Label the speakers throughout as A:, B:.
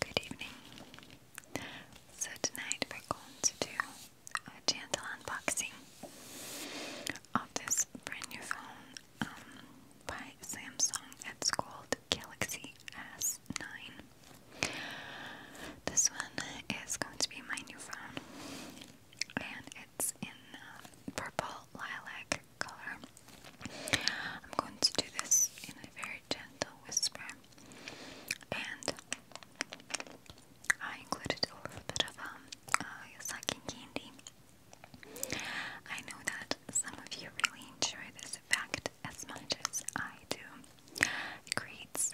A: Good evening. So, tonight we're going to do a gentle unboxing of this brand new phone um, by Samsung. It's called Galaxy S9. This one is going to be my new phone, and it's in uh, purple lilac color. I'm going to do this in a very gentle whisper, and I included a bit of um, uh, sucking candy. I know that some of you really enjoy this effect as much as I do, creates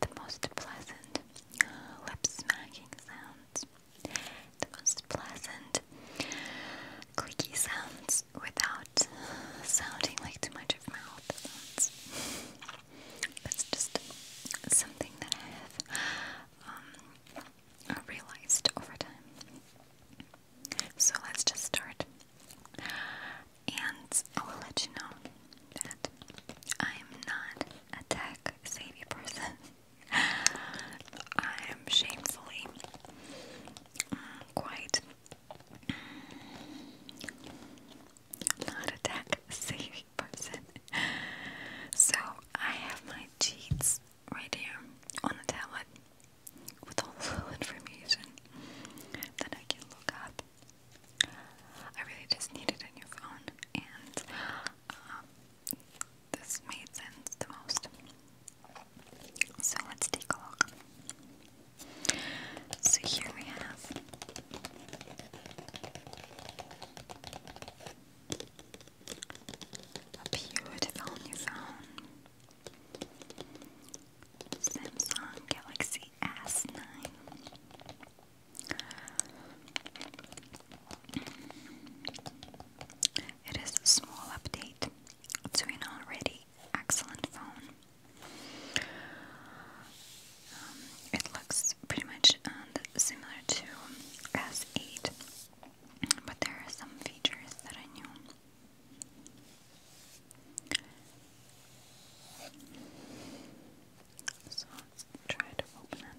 A: the most pleasant uh, lip smacking sounds, the most pleasant clicky sounds without uh, sounding like too much of mouth sounds. That's just something that I have um, realized over time. So let's just start and I will let you know that I'm not a tech savvy person. I am shamefully mm, quite mm, not a tech savvy person. So I have my cheats right here on the tablet with all the information that I can look up I really just needed a new phone, and um, this made sense the most. So let's take a look. So here we have a beautiful new phone. Samsung Galaxy S9. It is a small update to an already excellent phone. Um, it looks pretty much uh, similar to S8, but there are some features that I knew let's try to open it.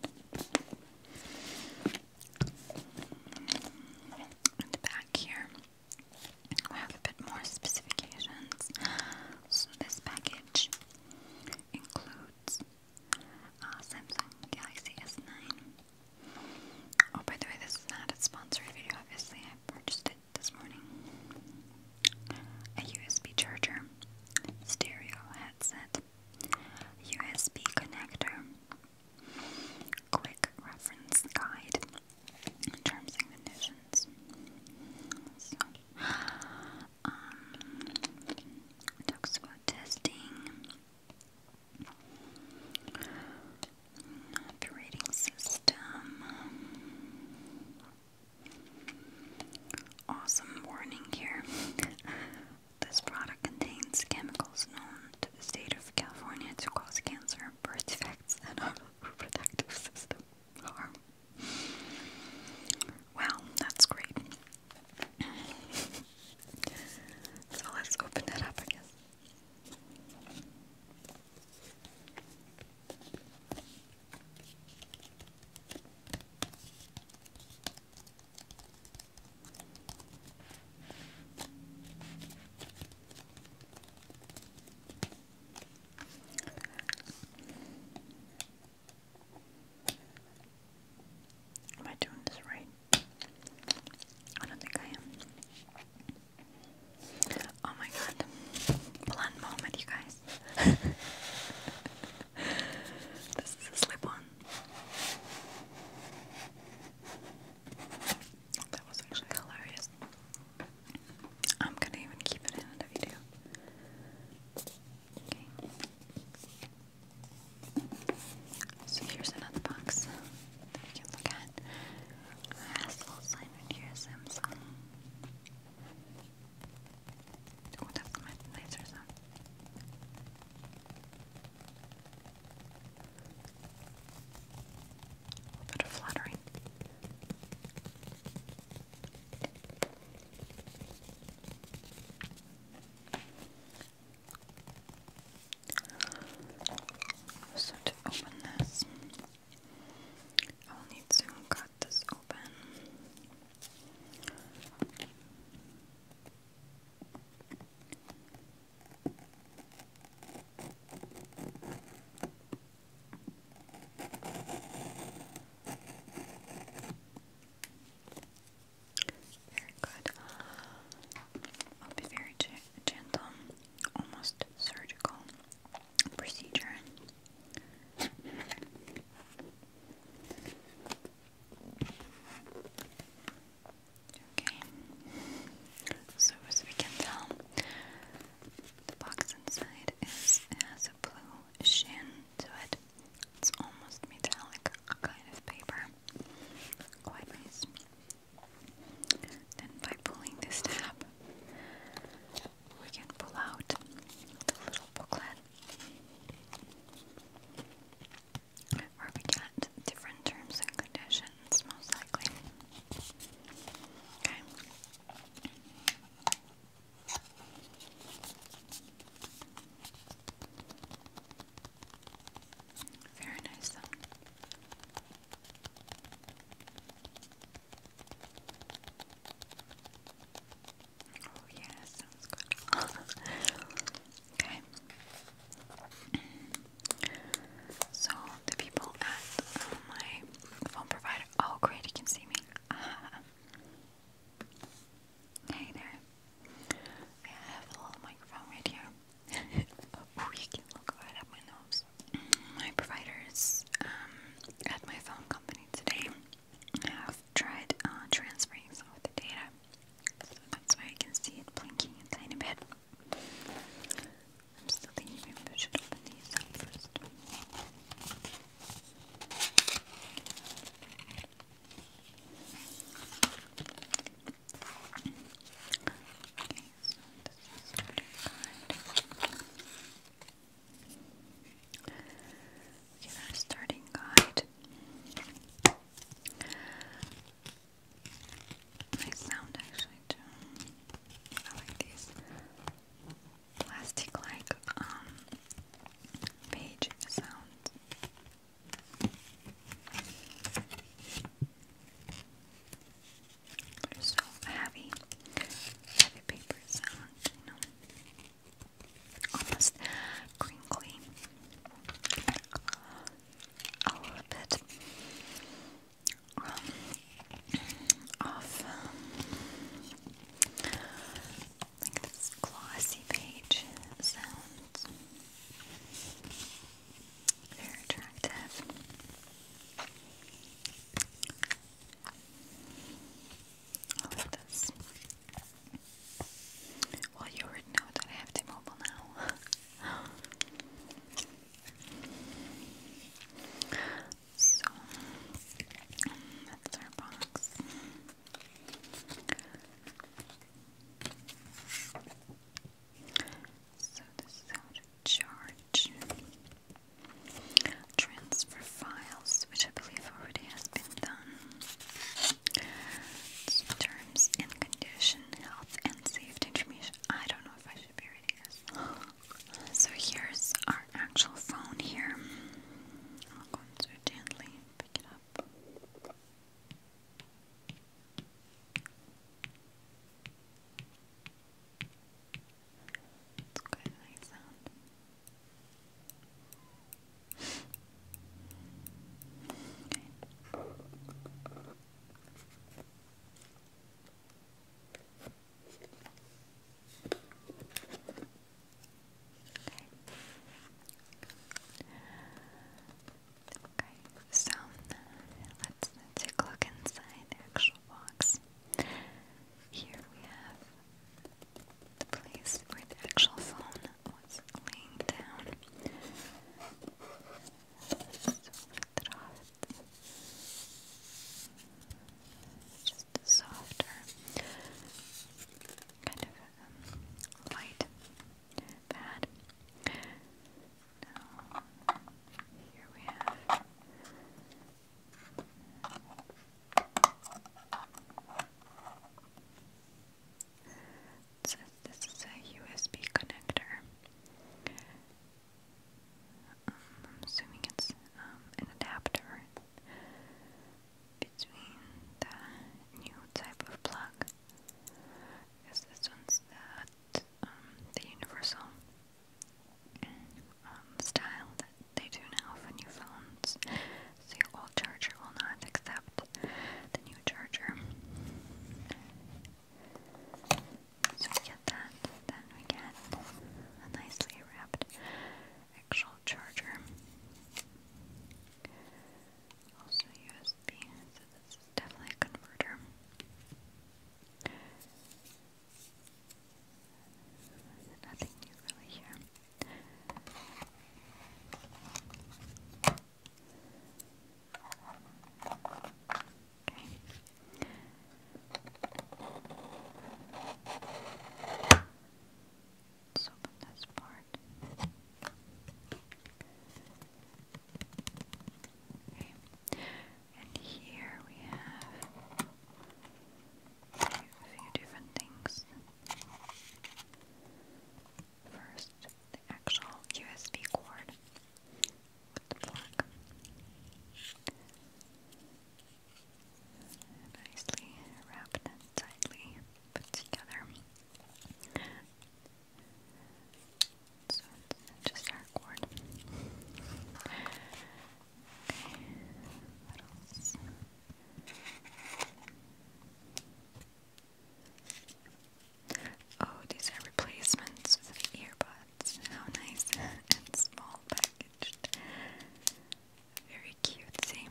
A: In the back here, we have a bit more specifications. So this package includes uh, Samsung Galaxy S9. Oh, by the way, this is not a sponsored video, obviously. I purchased it this morning a USB charger, stereo headset, USB connector, quick reference guide, terms and conditions. So, um, talks about testing, operating system. Awesome warning here. this product contains chemicals known to the state of California to cause cancer, birth defects, and our reproductive that's great. so let's open it up, I guess. Am I doing this right? I don't think I am. Oh my god. Blunt moment, you guys. this is a slip one. That was actually hilarious. I'm gonna even keep it in the video. So here's another box that can look at. It has a little sign right here, Samsung. Oh, that's my laser sound. A little bit of fluttering. So to open this, I'll need to cut this open. Very good. I'll be very gentle, almost surgical procedure. Okay, so as we can tell, the box inside is has a blue sheen to it. It's almost metallic kind of paper. Quite nice. Then by pulling this tab, we can pull out the little booklet. Where we get different terms and conditions, most likely. Okay. Very nice, Oh yeah, sounds good. okay. So the people at uh, my phone provider. Oh great, you can see me. hey there. I have a little microphone right here. oh, you can look right at my nose. My provider is um, at my phone company today have tried uh, transferring some of the data. So that's why I can see it blinking a tiny bit. I'm still thinking maybe I should open these Look our starting guide. Nice sound actually too. I like these plastic-like um, page sounds. They're so heavy, heavy paper sound, you know almost crinkly a little bit um, like this glossy page very attractive all of this. Well, you already know that I have T-Mobile now. so, that's our box. So this is how to charge. Transfer files, which I believe already has been done terms and condition, health and safety information. I don't know if I should be reading this. So here's our actual phone here. I'll go into gently, pick it up. It's quite nice sound. Okay. Okay, so let's take a look inside the actual box. Here we have place where the actual phone was laying down. Just softer, kind of um, light pad. Now, here we have. It this is a USB connector. Um, I'm assuming it's um, an adapter between the new type of plug. Because this one's that um, the universal style that they do now for new phones so old charger will not accept the new charger. So we get that, then we get a nicely wrapped actual charger. Also USB, so this is definitely a converter. Nothing new really here. Okay. Let's open this part. And here we have a few different things. First, the actual USB cord with the plug. Nicely wrapped and tightly put together. So it's just our cord. what else? Oh, these are replacements for the earbuds. How nice and small packaged. Very cutesy.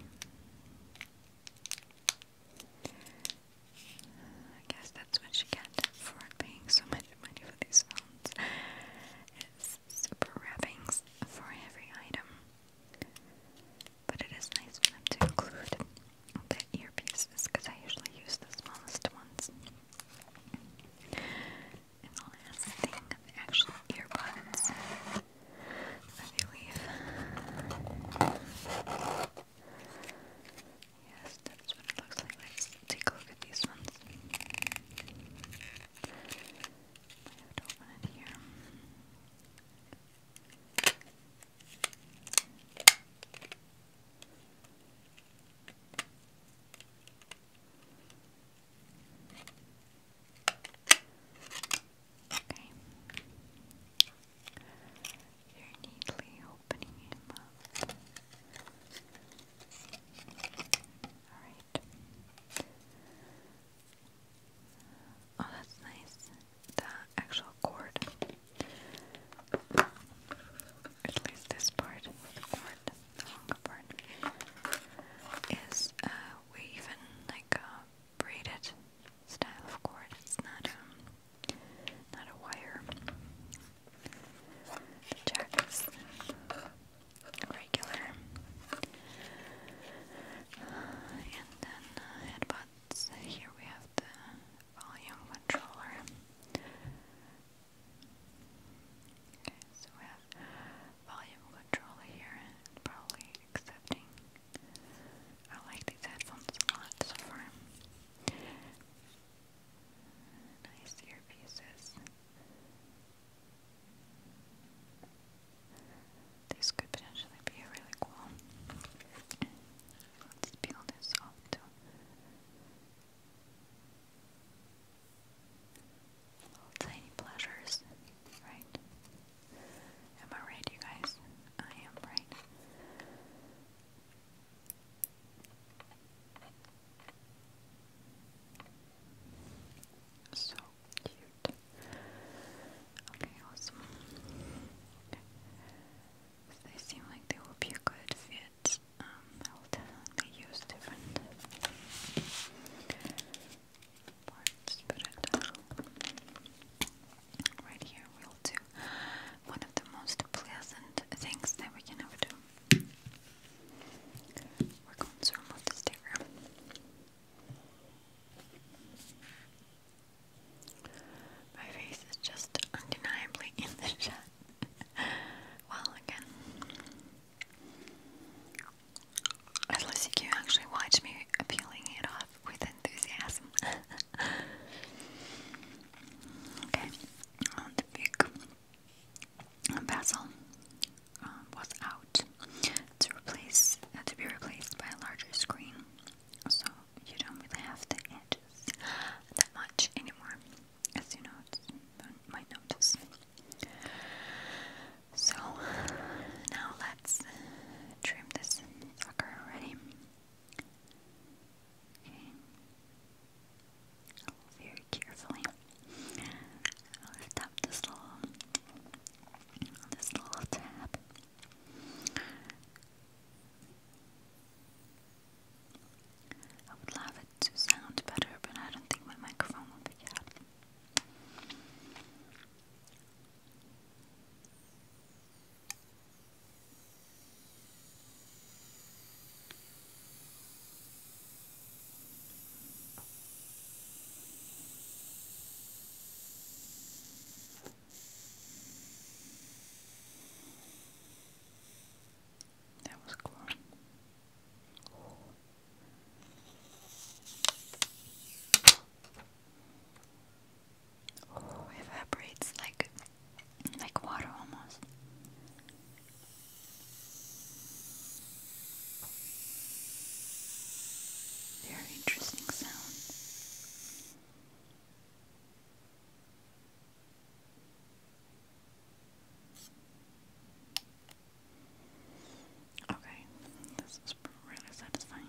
A: I guess that's what you get for paying so much money for these phones. It's super wrappings for every item. But it is nice for them to include the earpieces because I usually use the smallest ones. And the last thing, the actual earbuds I believe. Yes, that's what it looks like. Let's take a look at these ones. I have to open it here. Okay. You're neatly opening him Alright. Oh, that's nice the actual cord. At least this part, the cord, the longer part, is uh, we like braided style of cord. It's not a um, not a wire. The jack is regular. and then uh, I so here we have the volume controller. Okay, so we have volume control here probably accepting. I like these headphones a lot so far. Nice earpieces. This could potentially be a really cool. Let's off too. tiny pleasures, right? Am I right, you guys? I am right. So cute. Okay, awesome. Okay. They seem like they will be a good fit. I um, will definitely use different parts, but uh, right here we'll do one of the most pleasant things that we can ever do. We're going to remove the sticker. My face is just undeniably in the shot. well, again, at least you can actually watch me peeling it off with enthusiasm. okay, the big bezel um, was out to replace uh, to be replaced by a larger screen. So you don't really have the edges that much anymore, as you notice, might notice. So now let's trim this sucker already. Okay. Very carefully. lift up this little this little tab. I would love it to sound better, but I don't think my microphone will pick up. That was cool. evaporates like like water almost. Very interesting sound. Okay, this is really satisfying.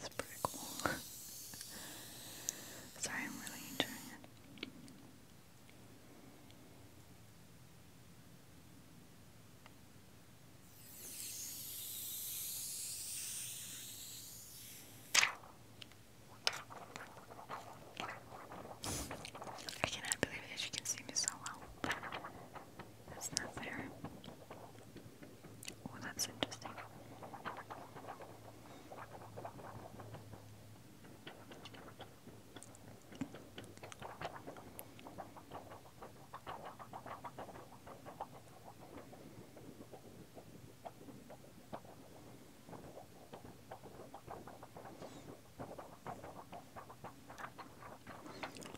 A: That's pretty Sorry, I'm really enjoying it. I cannot believe that she can see me so well. That's not fair. Oh, that's interesting.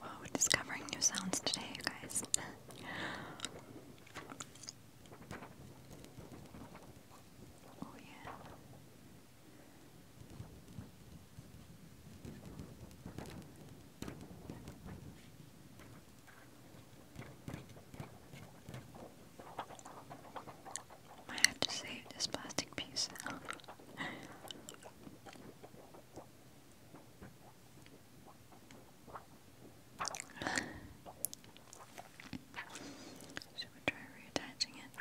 A: Wow, we're discovering new sounds today, you guys. Oh, I have to save this plastic piece. Should we try reattaching it?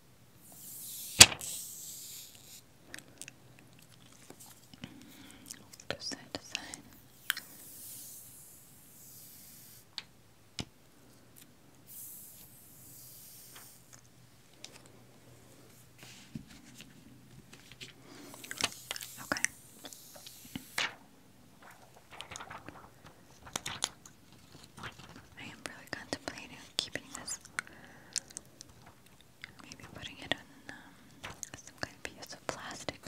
A: Go side to side. Okay. I am really contemplating keeping this Maybe putting it on um, some kind of piece of plastic.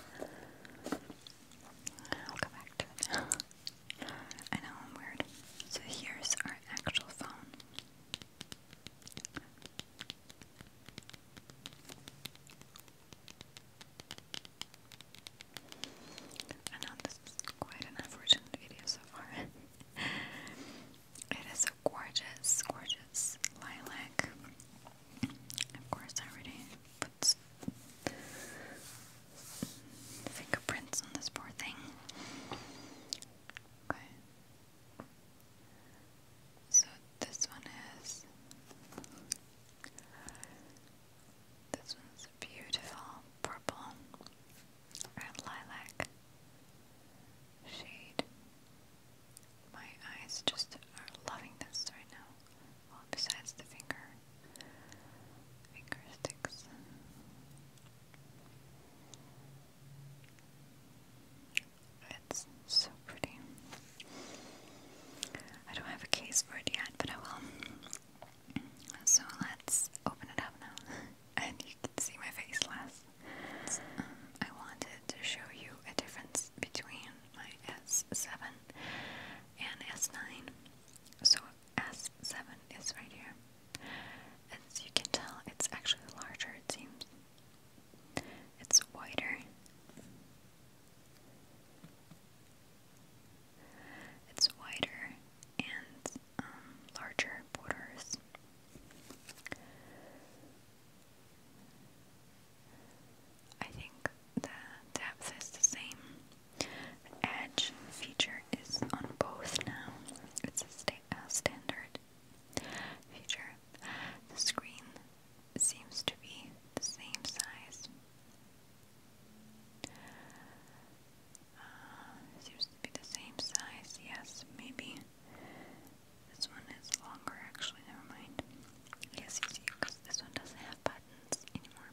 A: I'll go back to it. I know I'm weird. So here's our actual phone. I know this is quite an unfortunate video so far. It is a gorgeous, gorgeous lilac. Of course, I already put fingerprints on this poor thing. Okay. So this one is. This one's beautiful purple lilac shade. My eyes just are loving this right now. Well, besides the finger, finger It's so pretty. I don't have a case for it yet, but I will. So let's open it up now. you can see my face less. Um, I wanted to show you a difference between my S7 and S9. So S7 is right here. As you can tell, it's actually larger, it seems. It's wider. It's wider and um, larger borders. I think the depth is the same. The edge feature is on both now. It's a sta uh, standard feature. The screen seems to be the same size. Uh, seems to be the same size, yes, maybe this one is longer, actually. Never mind. Yes, you because this one doesn't have buttons anymore.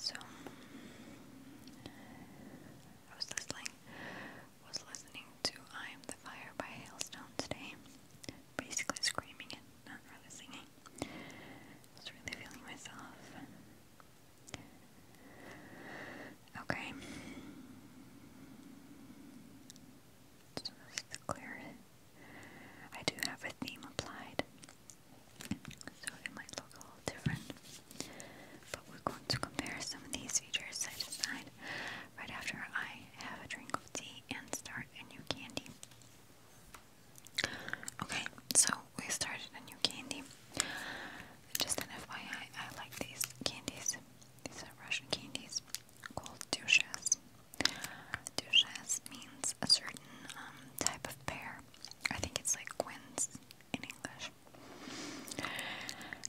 A: So, I was listening, was listening to "I Am the Fire" by Hailstone today. Basically, screaming and not really singing. I really feeling myself. Okay. So this is clear. I do have a theme applied, so it might look a little different. But we're going to compare some of these features I decide right after I have a drink of tea and start a new candy. Okay, so we started a new candy. Just an FYI, I like these candies. These are Russian candies called dushas. Dushas means a certain um, type of pear. I think it's like quince in English.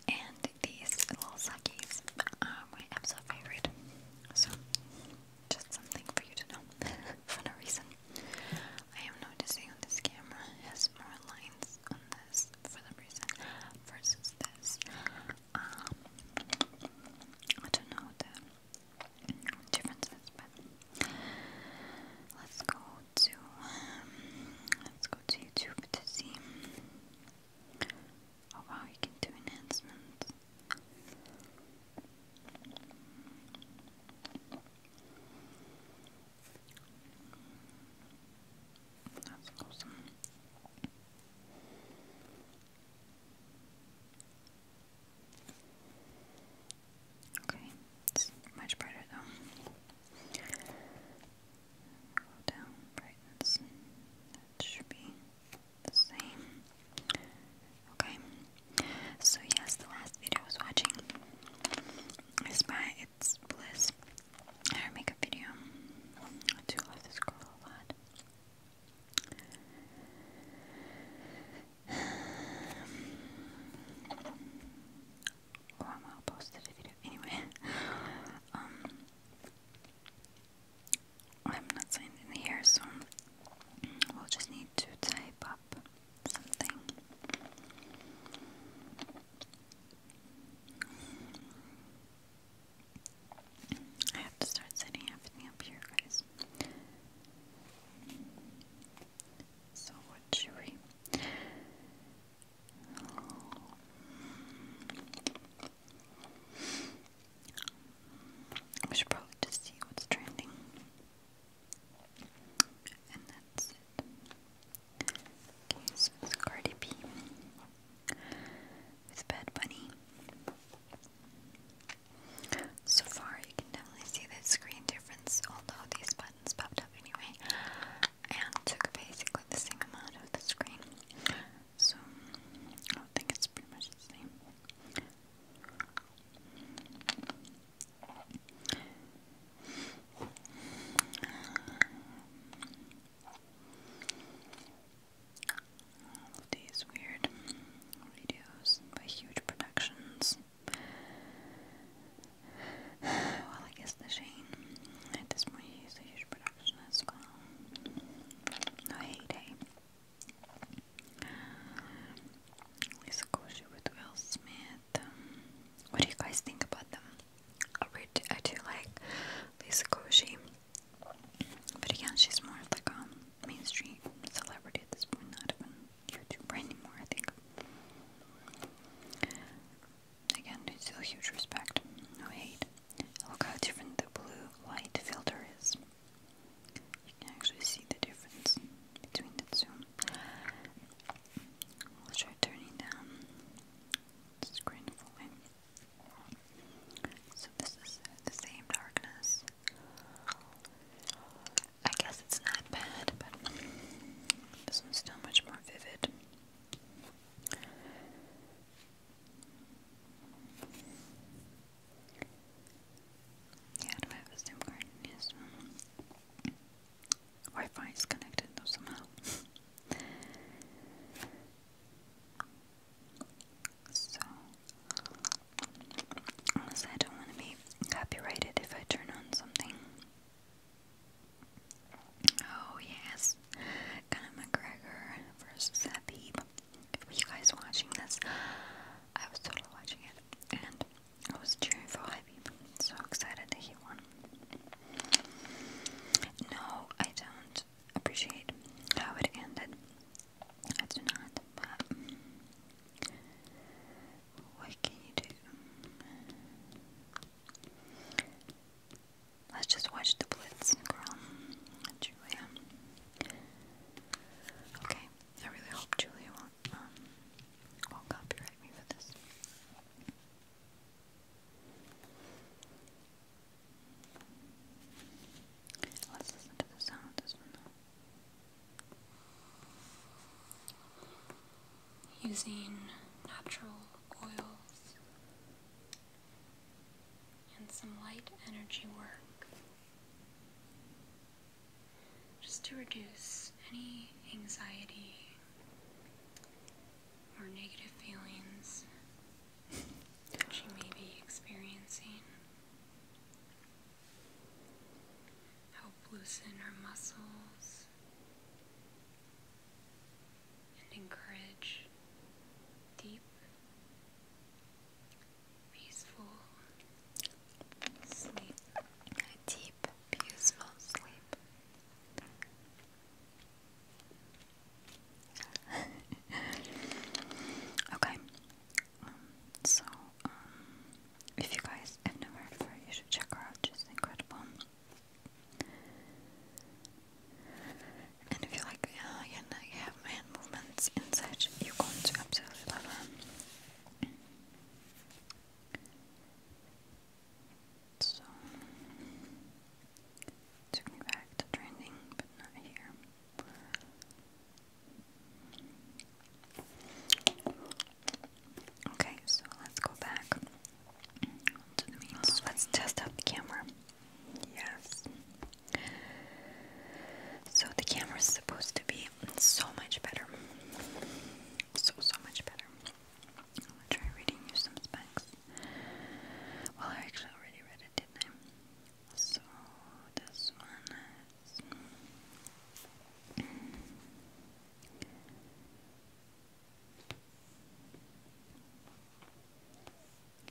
A: And these little sakis are my absolute favorite. So, just something for you to know. for no reason. I am noticing on this camera has more lines this on this for some reason versus this. Um, I don't know the differences, but let's go to let's go to YouTube to see. Oh you can do enhancements. That's awesome. Okay, much brighter though. Go down brightness. That should be the same. Okay. So yes, the last video I was watching is by It's Bliss her makeup video. I do love this girl a lot. Well, um, I'll post a video anyway. Um, I'm not signed in here, so we'll just need to type up something. I have to start setting everything up here, guys. So, what should we? We should probably just see what's trending and that's it. Okay, so it's Cardi B with Bad Bunny. So far, you can definitely see the screen difference, although these buttons popped up anyway, and took basically the same amount of the screen. So, I think it's pretty much the same. All of these weird videos by huge productions. Well, I guess the Shane at this huge production as well. No heyday. Lisa Koshy with Will Smith what do you guys think about them? I, do like Lisa Koshy, but again, she's more like a mainstream celebrity at this point, not even YouTuber anymore, I think. Again, it's still huge respect, no hate. Look how different the blue light filter is. You can actually see the difference between the zoom. let will try turning down screen fully. So this is the same darkness. I guess it's not bad, but this one's still much more vivid. Yeah, do I have a SIM card? Yes. WiFi is connected somehow. so, unless I don't want to be copyrighted if I turn on something. Oh yes, Conor McGregor versus Habib. If you guys watching this, I was totally watching it, and I was cheering for Habib. So excited that he won. No, I don't appreciate how it ended. I do not, but what can you do? Let's just watch the Blitz, girl. Julia. Okay, I really hope Julia won't, um, copyright me for this. Let's listen to the sound this one Using natural oils and some light energy work just to reduce any anxiety or negative feelings that you may be experiencing. Help loosen our muscles and encourage deep, peaceful sleep. A deep, peaceful sleep. okay. Um, so, um, if you guys have never heard you should check her out. She's incredible. And if you like alien, uh, you have hand movements inside, you're going to absolutely love her. So took me back to trending, but not here. Okay, so let's go back to the main Let's test out the camera. Yes. So the camera is supposed to be so much better. So, so much better. I'm gonna try reading you some specs. Well, I actually already read it, didn't I? So, this one is.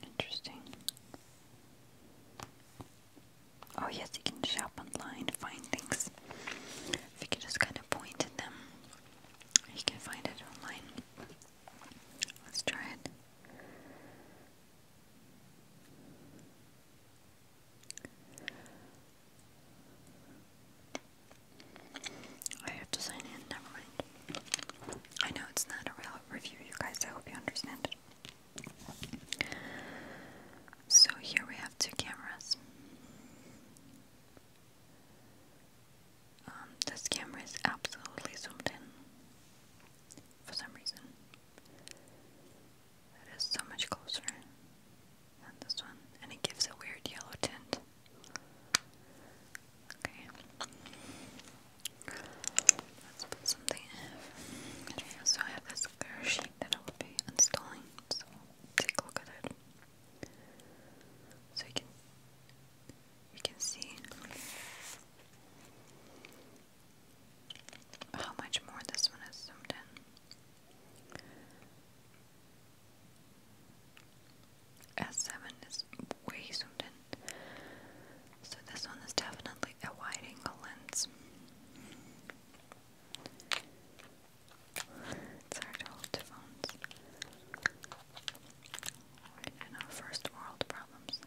A: Interesting. Oh, yes, you can shop online, find things. If you can just kind of point at them, you can find it online. Let's try it. I have to sign in, never mind. I know it's not a real review, you guys, I hope you understand So here we have two cameras. Um, this camera is absolutely zoomed in for some reason. It is so much closer than this one, and it gives a weird yellow tint. Okay. Let's something so I have this clear sheet that I will be installing, so take a look at it. So you can you can see how much more this one is zoomed in. S7 is way zoomed in. So this one is definitely a wide angle lens. It's hard to hold two phones our first world problems.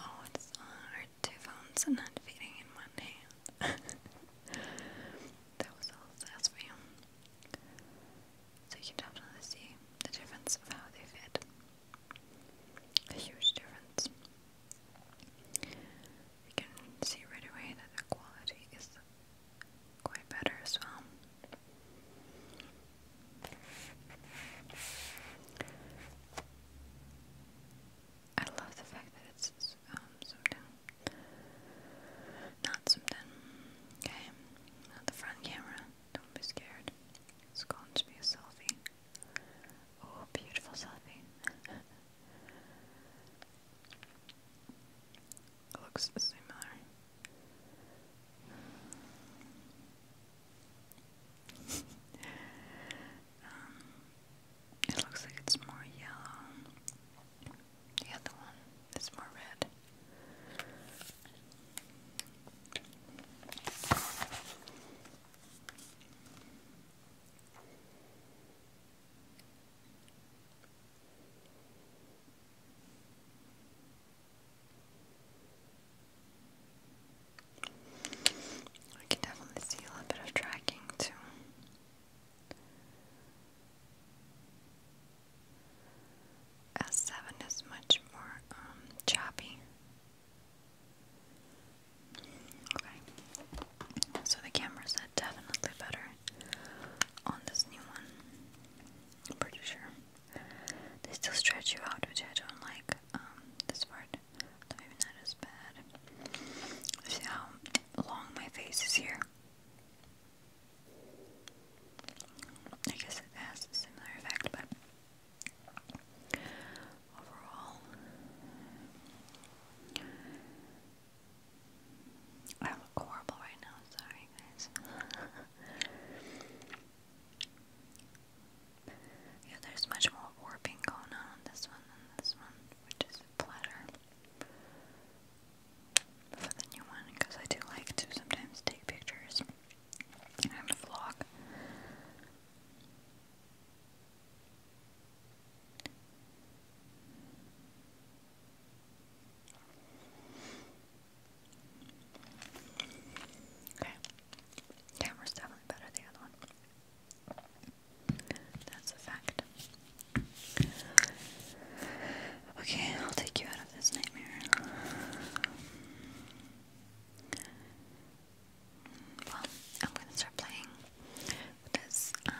A: Oh, it's hard. Two phones and not feeding in one hand. that was all that's for you. So you can definitely see the difference of how they fit. A huge difference. You can see right away that the quality is quite better as well. I love the fact that it's um, zoomed Not zoomed in. Okay. the front camera. Don't be scared. It's going to be a selfie. Oh, beautiful selfie. looks similar um, it looks like it's more yellow. The other one is more red. I can definitely see a little bit of tracking too. S7 is much more um, choppy. Okay, so the cameras are definitely better on this new one. I'm pretty sure. They still stretch you out, which I don't like. Um, this part, maybe not bad. See how long my face is here. I guess it has a similar effect, but overall, I look horrible right now. Sorry, guys. Yeah, there's much more warping going on on this one than this one, which is a for the new one, because I do like to sometimes take pictures and vlog. Okay. Camera's definitely better than the other one. That's a fact. Okay, I'll take you out of this nightmare. Well, I'm gonna start playing with Um,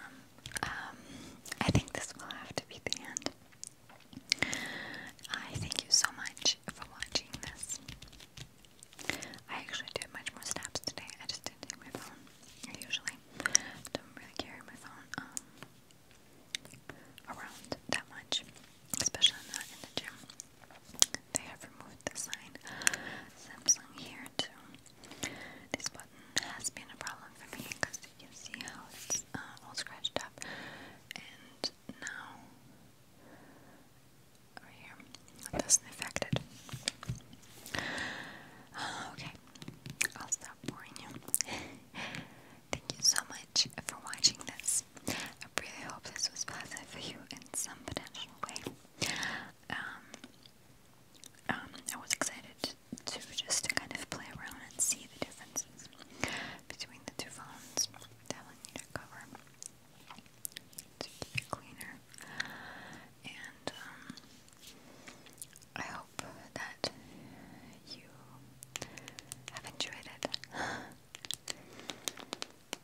A: um, I think this will have to be the end. I thank you so much for watching this. I actually did much more snaps today. I just didn't take my phone. I usually don't really carry my phone um, around that much, especially not in the gym. They have removed the sign Samsung here too. This button has been a problem for me because you can see how it's uh, all scratched up and now over here. doesn't affect it. Okay, I'll stop boring you. Thank you so much for watching this. I really hope this was positive for you in some potential way. Um, um, I was excited to just to kind of play around and see the differences between the two phones. Telling you to cover. To keep it cleaner. And um, I hope that you have enjoyed it. I'll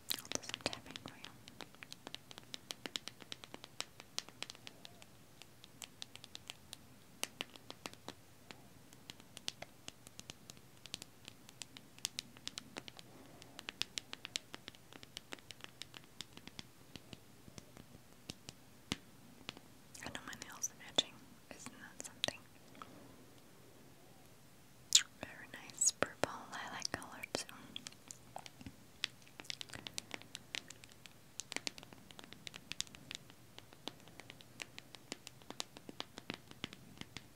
A: do some tapping you. I know my nails are matching. Isn't that something? Very nice purple lilac color too.